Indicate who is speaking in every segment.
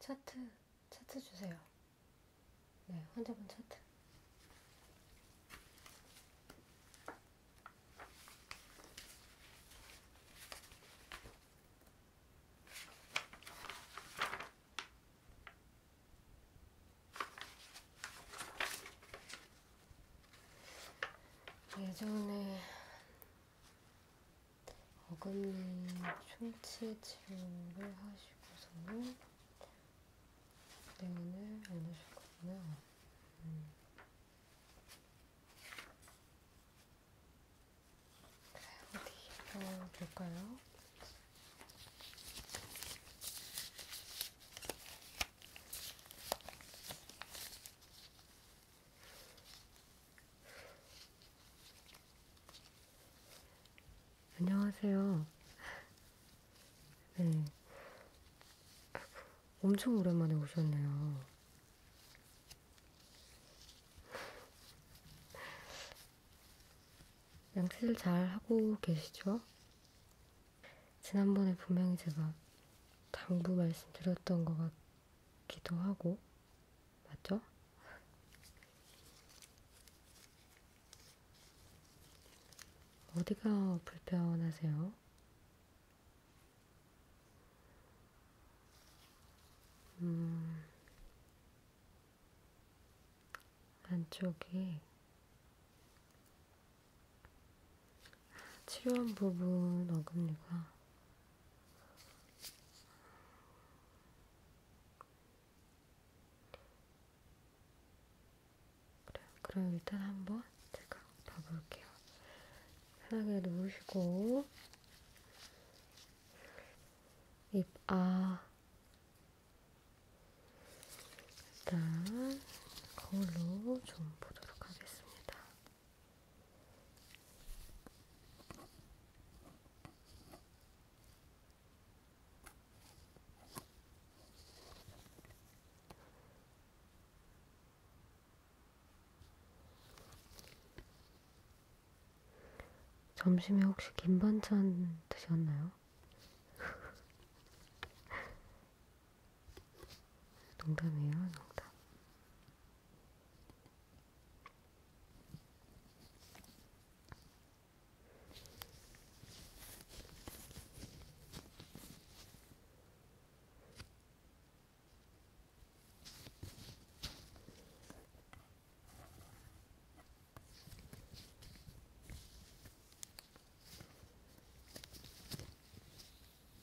Speaker 1: 차트, 차트 주세요. 네, 환자분 차트. 예전에 어금니 충치 치료를 하시고서는 냉원을 안 하셨거든요. 음. 어디서 볼까요? 음, 안녕하세요. 네. 엄청 오랜만에 오셨네요. 양치질 잘 하고 계시죠? 지난번에 분명히 제가 당부 말씀드렸던 것 기도하고, 맞죠? 어디가 불편하세요? 음, 안쪽이 치료한 부분 어금니가 그래, 그럼 일단 한번 제가 봐볼게요. 편하게 누우시고 입, 아 일단 거울로 좀 보도록 하겠습니다. 점심에 혹시 김반찬 드셨나요? 농담이에요, 농담.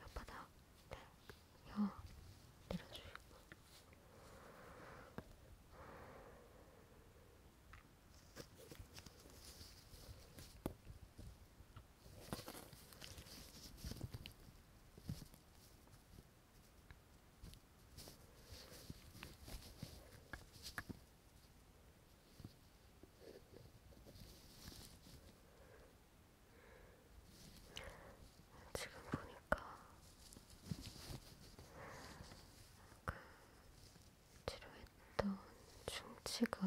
Speaker 1: 혓바닥 혀 내려주시고 지금 보니까 그 치료했던 충치가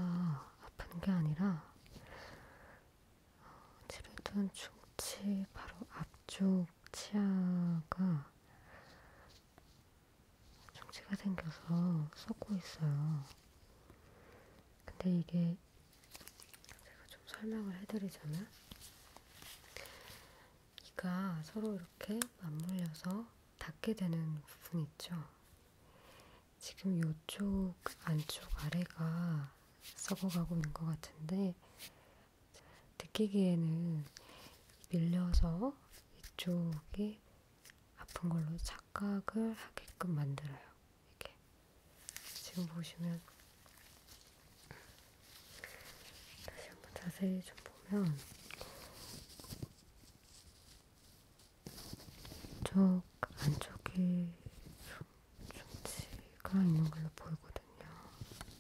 Speaker 1: 아픈 게 아니라 어, 치료했던 충치 바로 앞쪽 치아가 충치가 생겨서 썩고 있어요. 근데 이게 제가 좀 설명을 해드리자면, 이가 서로 이렇게 맞물려서 닿게 되는 부분이 있죠. 지금 이쪽 안쪽 아래가 썩어가고 있는 것 같은데, 느끼기에는 밀려서 이쪽이 아픈 걸로 착각을 하게끔 만들어요. 이렇게 지금 보시면 다시 한번 자세히 좀 보면 쪽 안쪽이 좀 충치가 있는 걸로 보이거든요. 이렇게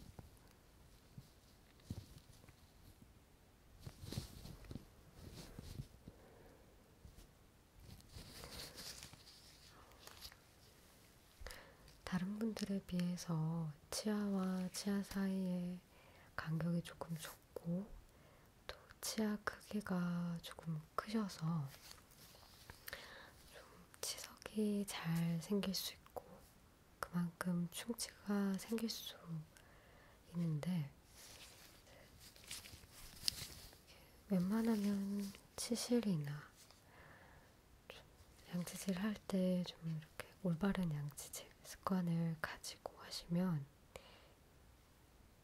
Speaker 1: 다른 분들에 비해서 치아와 치아 사이에 간격이 조금 좁고 또 치아 크기가 조금 크셔서 좀 치석이 잘 생길 수 있고 그만큼 충치가 생길 수 있는데 웬만하면 치실이나 양치질 할 때 좀 이렇게 올바른 양치질 습관을 가지고 하시면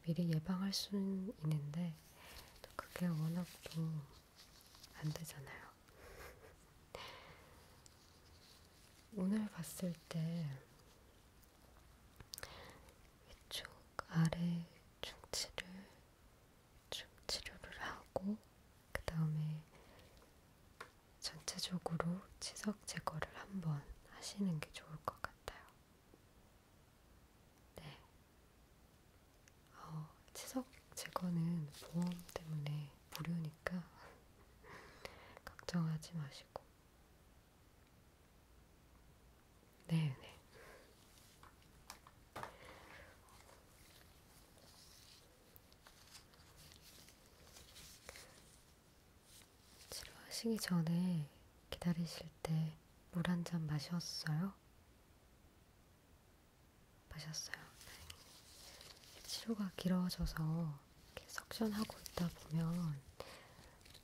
Speaker 1: 미리 예방할 수는 있는데 또 그게 워낙 또안 되잖아요. 오늘 봤을 때 위쪽 아래 중치를 좀 치료를 하고 그 다음에 전체적으로 치석 제거를 한번 하시는 게 좋을 것 같아요. 네, 어, 치석 제거는 보험 때문에 무료니까 걱정하지 마시고 네, 네. 치료하시기 전에 기다리실 때 물 한 잔 마셨어요? 마셨어요. 네. 치료가 길어져서 이렇게 석션하고 있다 보면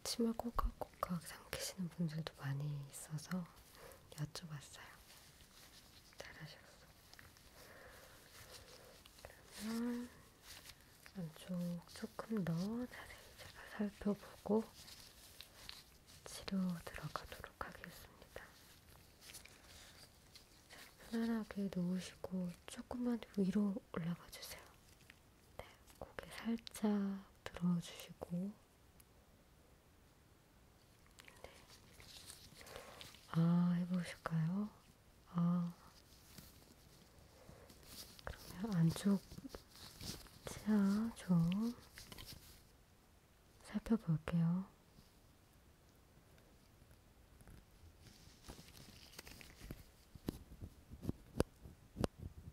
Speaker 1: 침을 꼬깍꼬깍 삼키시는 분들도 많이 있어서 여쭤봤어요. 잘하셨어. 그러면 안쪽 조금 더 자세히 제가 살펴보고 치료 들어가도록 하겠습니다. 자, 편안하게 누우시고 조금만 위로 올라가 주세요. 네, 고개 살짝 들어주시고 아, 해보실까요? 아, 그러면 안쪽 치아 좀 살펴볼게요. 네,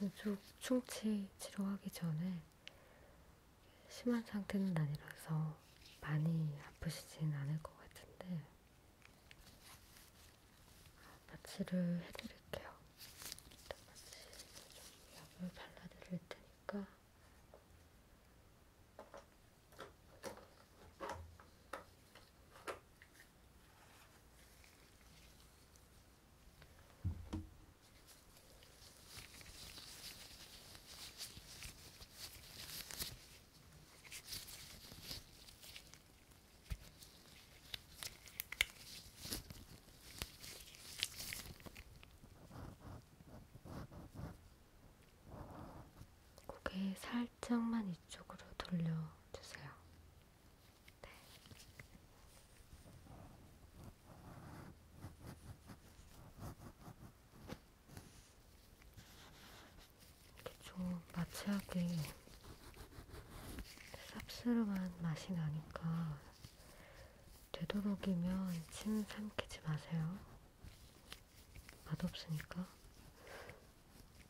Speaker 1: 안쪽 충치 치료하기 전에 심한 상태는 아니라서 많이 아프시진 않을 것 같은데 마취를 해드릴게요. 일단 마취를 좀 약을 발라드릴 테니까 고개 살짝 살짝만 이쪽으로 돌려주세요. 네. 이렇게 좀 마취하게 쌉스름한 맛이 나니까 되도록이면 침 삼키지 마세요. 맛없으니까.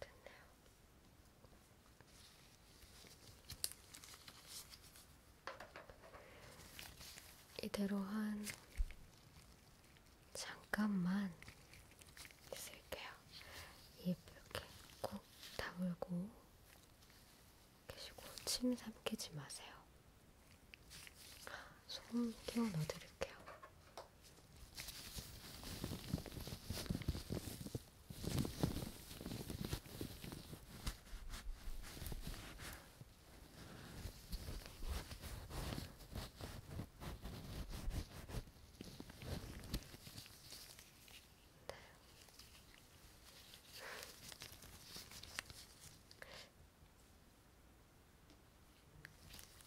Speaker 1: 됐네요. 이대로 한 잠깐만 있을게요. 입 이렇게 꾹 다물고 계시고 침 삼키지 마세요. 소금 끼워 넣어드릴게요. 네.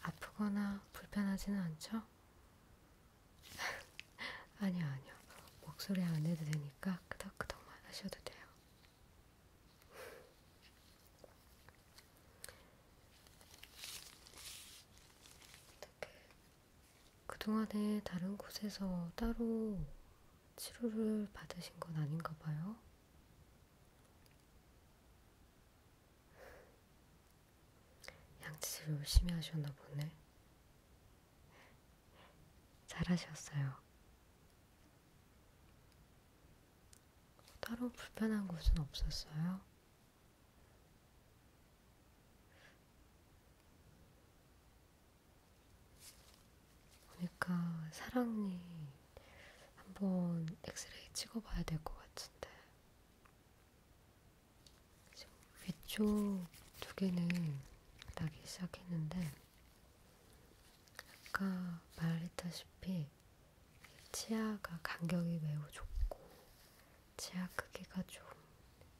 Speaker 1: 아프거나 불편하지는 않죠? 아니요, 아니요. 목소리 안 해도 되니까 끄덕끄덕만 하셔도 돼요. 그동안에 다른 곳에서 따로 치료를 받으신 건 아닌가 봐요. 양치질 열심히 하셨나 보네. 잘하셨어요. 뭐 따로 불편한 곳은 없었어요? 보니까 그러니까 사랑니 한번 엑스레이 찍어봐야 될 것 같은데 지금 위쪽 두 개는 나기 시작했는데 아까 말했다시피 치아가 간격이 매우 좁고 치아 크기가 좀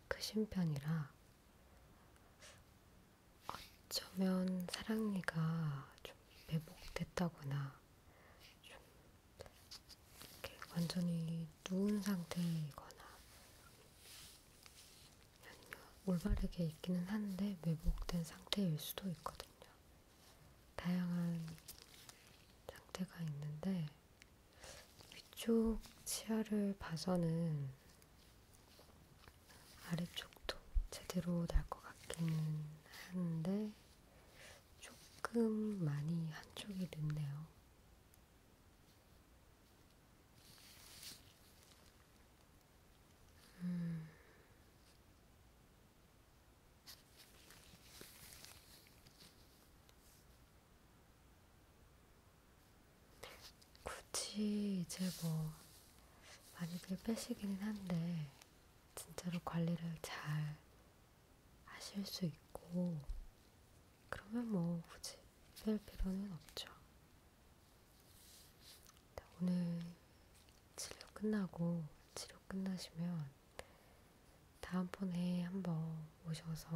Speaker 1: 크신 편이라 어쩌면 사랑니가 좀 매복됐다거나 좀 이렇게 완전히 누운 상태이거나 아니면 올바르게 있기는 한데 매복된 상태일 수도 있거든요. 다양한 상태가 있는데 위쪽 치아를 봐서는 아래쪽도 제대로 날 것 같기는 한데 조금 많이 한쪽이 늦네요. 음. 굳이 이제 뭐 많이들 빼시기는 한데 진짜로 관리를 잘 하실 수 있고 그러면 뭐 굳이 뺄 필요는 없죠. 오늘 치료 끝나고 치료 끝나시면 다음번에 한번 오셔서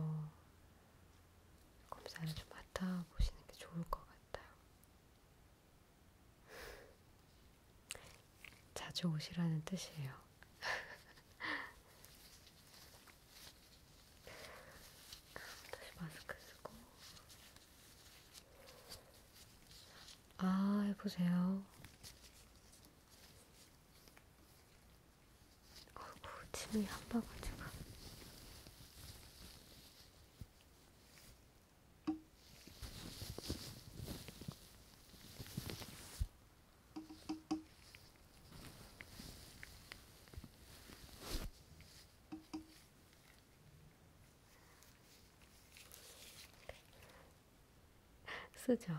Speaker 1: 검사를 좀 맡아보시는 게 좋을 것 같아요. 자주 오시라는 뜻이에요. 다시 마스크 쓰고. 아, 해보세요. 어구, 침이 한 방울 지금. 쓰죠.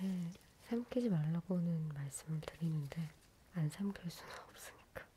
Speaker 1: 네, 삼키지 말라고는 말씀을 드리는데 안 삼킬 수는 없으니까.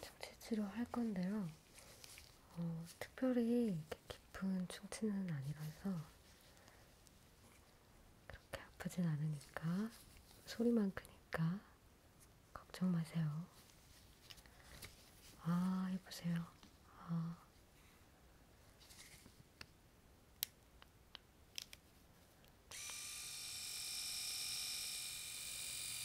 Speaker 1: 정체치료 할 건데요. 어, 특별히 이렇게 깊은 충치는 아니라서 그렇게 아프진 않으니까 소리만 크니까 걱정 마세요. 아, 해보세요. 아.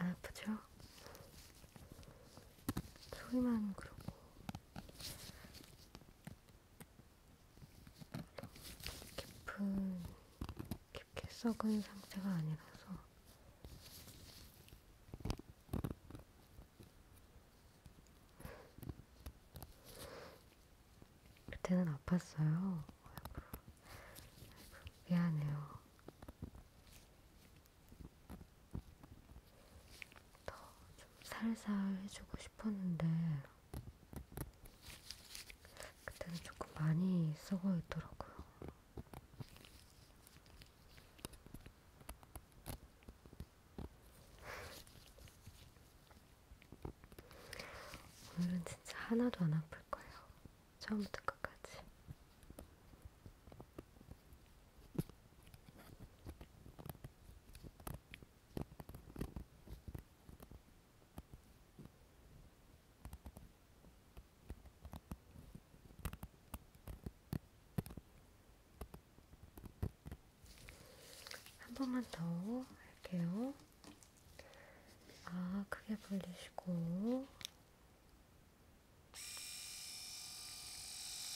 Speaker 1: 안 아프죠? 소리만 그러고 깊은, 깊게 썩은 상태가 아니라서 그때는 아팠어요. 아이고, 아이고, 미안해요. 더 좀 살살 해주고 싶었는데. 그때는 조금 많이 썩어 있더라고요. 오늘은 진짜 하나도 안 아플 거예요. 처음부터 끝까지. 한 번만 더 할게요. 아, 크게 벌리시고.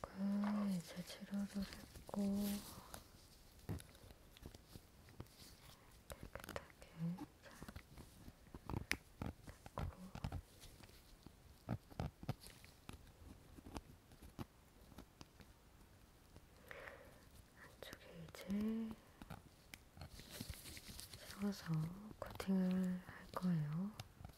Speaker 1: 한쪽은 이제 치료를 했고 깨끗하게 잘 닦고 한쪽에 이제 세워서 코팅을 할 거예요.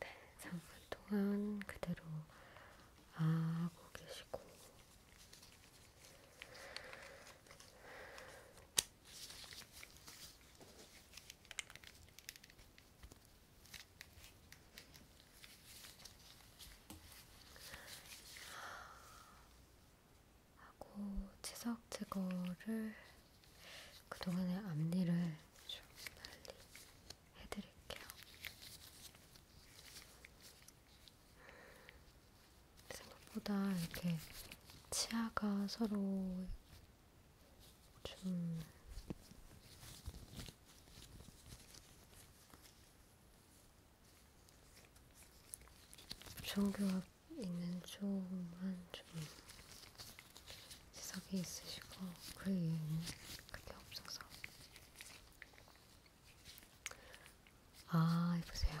Speaker 1: 네, 3분 동안 그대로 하고 계시고 하고 치석 제거를 그동안의 앞니를 좀 빨리 해드릴게요. 생각보다 이렇게 치아가 서로 좀 종교가 있는 쪽만 좀 지석이 있으시고 그 이외에는 그게 없어서 아, 이보세요.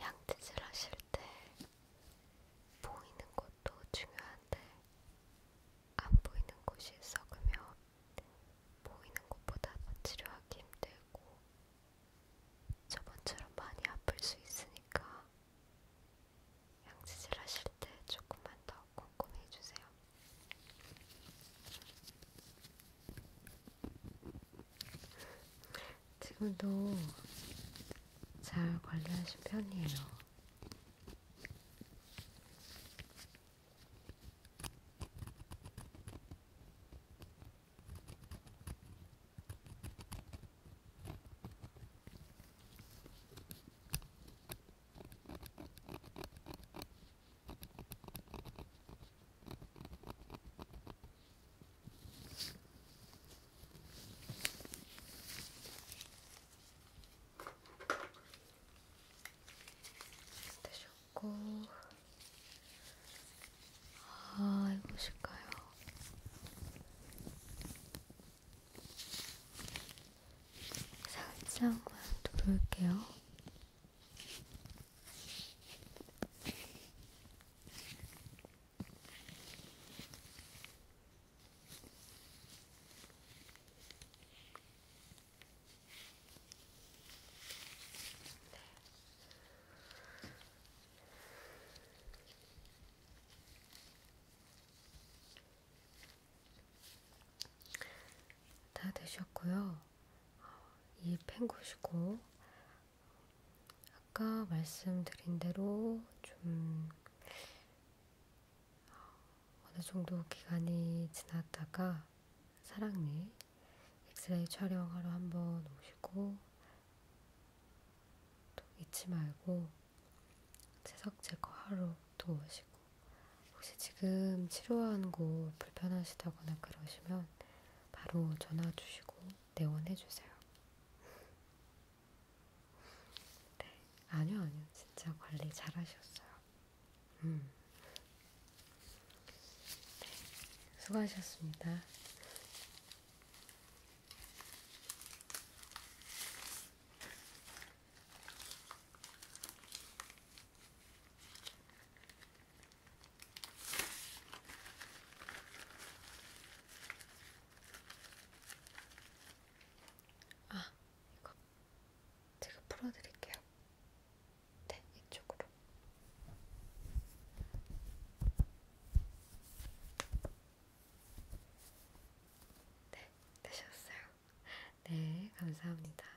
Speaker 1: 양치질 하실 때 보이는 곳 것도 중요한데 안 보이는 곳이 썩으면 보이는 곳보다 더 치료하기 힘들고 저번처럼 많이 아플 수 있으니까 양치질 하실 때 조금만 더 꼼꼼히 해주세요. 지금도 잘 관리하신 편이에요. 되셨고 아 이거 실까요? 살짝만 누를게요. 다 되셨고요. 어, 이 펜구시고 아까 말씀드린 대로 좀 어느 정도 기간이 지났다가 사랑니 엑스레이 촬영하러 한번 오시고 또 잊지 말고 채석 제거하러 또 오시고 혹시 지금 치료하는 곳 불편하시다거나 그러시면 바로 전화 주시고 내원해 주세요. 네, 아니요, 아니요. 진짜 관리 잘 하셨어요. 음. 네, 수고하셨습니다. 아, 이거 제가 풀어드릴게요. 네, 이쪽으로. 네, 되셨어요. 네, 감사합니다.